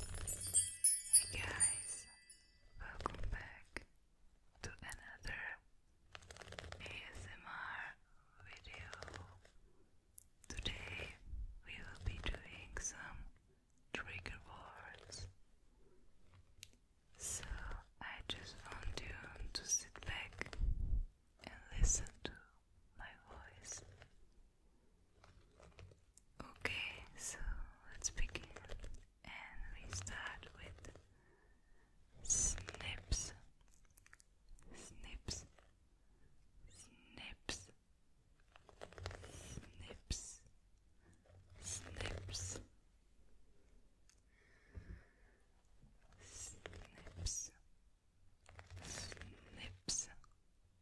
Hey guys, welcome back to another ASMR video. Today we will be doing some trigger words. So I just want you to sit back and listen to my voice. Okay, so let's begin, and we start with snips, snips, snips, snips, snips, snips, snips, snips,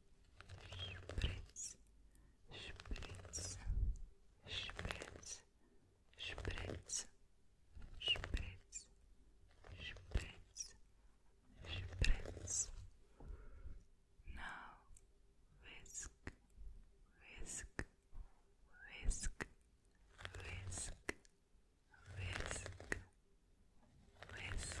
Spritz, spritz, spritz, spritz, spritz, spritz, spritz. Now whisk, whisk, whisk, whisk, whisk, whisk, whisk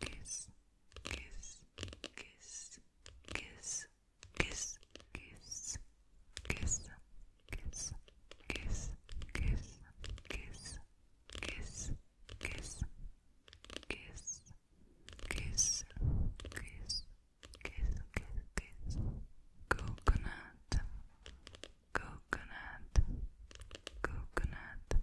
kiss, kiss, kiss, kiss, kiss, kiss, kiss, kiss, kiss, kiss, kiss, kiss, kiss, kiss, kiss, kiss. Kiss, kiss, kiss. Coconut, coconut, coconut,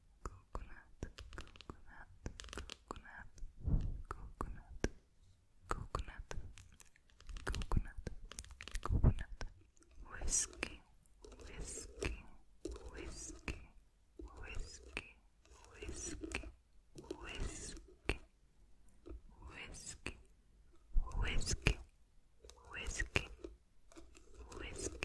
coconut, coconut, coconut, coconut, coconut, coconut, coconut, whiskey, whiskey, whiskey, whiskey, whiskey, whiskey, whiskey, whiskey, whiskey, whiskey, whiskey, whiskey,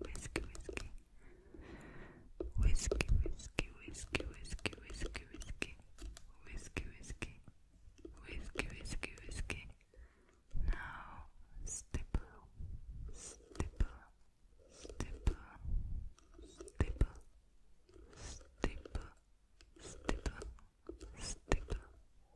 whiskey, whiskey, whiskey, whiskey, whiskey, whiskey, whiskey, whiskey, whiskey, whiskey, whiskey, whiskey, whiskey. Now stipple, stipple, stipple, stipple, stipple, stipple, stipple,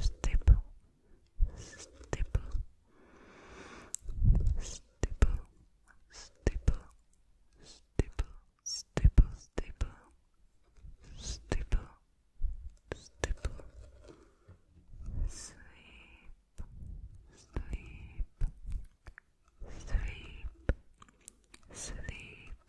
stipple, stipple, stipple, stipple, stipple, stipple, stipple, stipple, sleep, sleep, sleep, sleep. Sleep,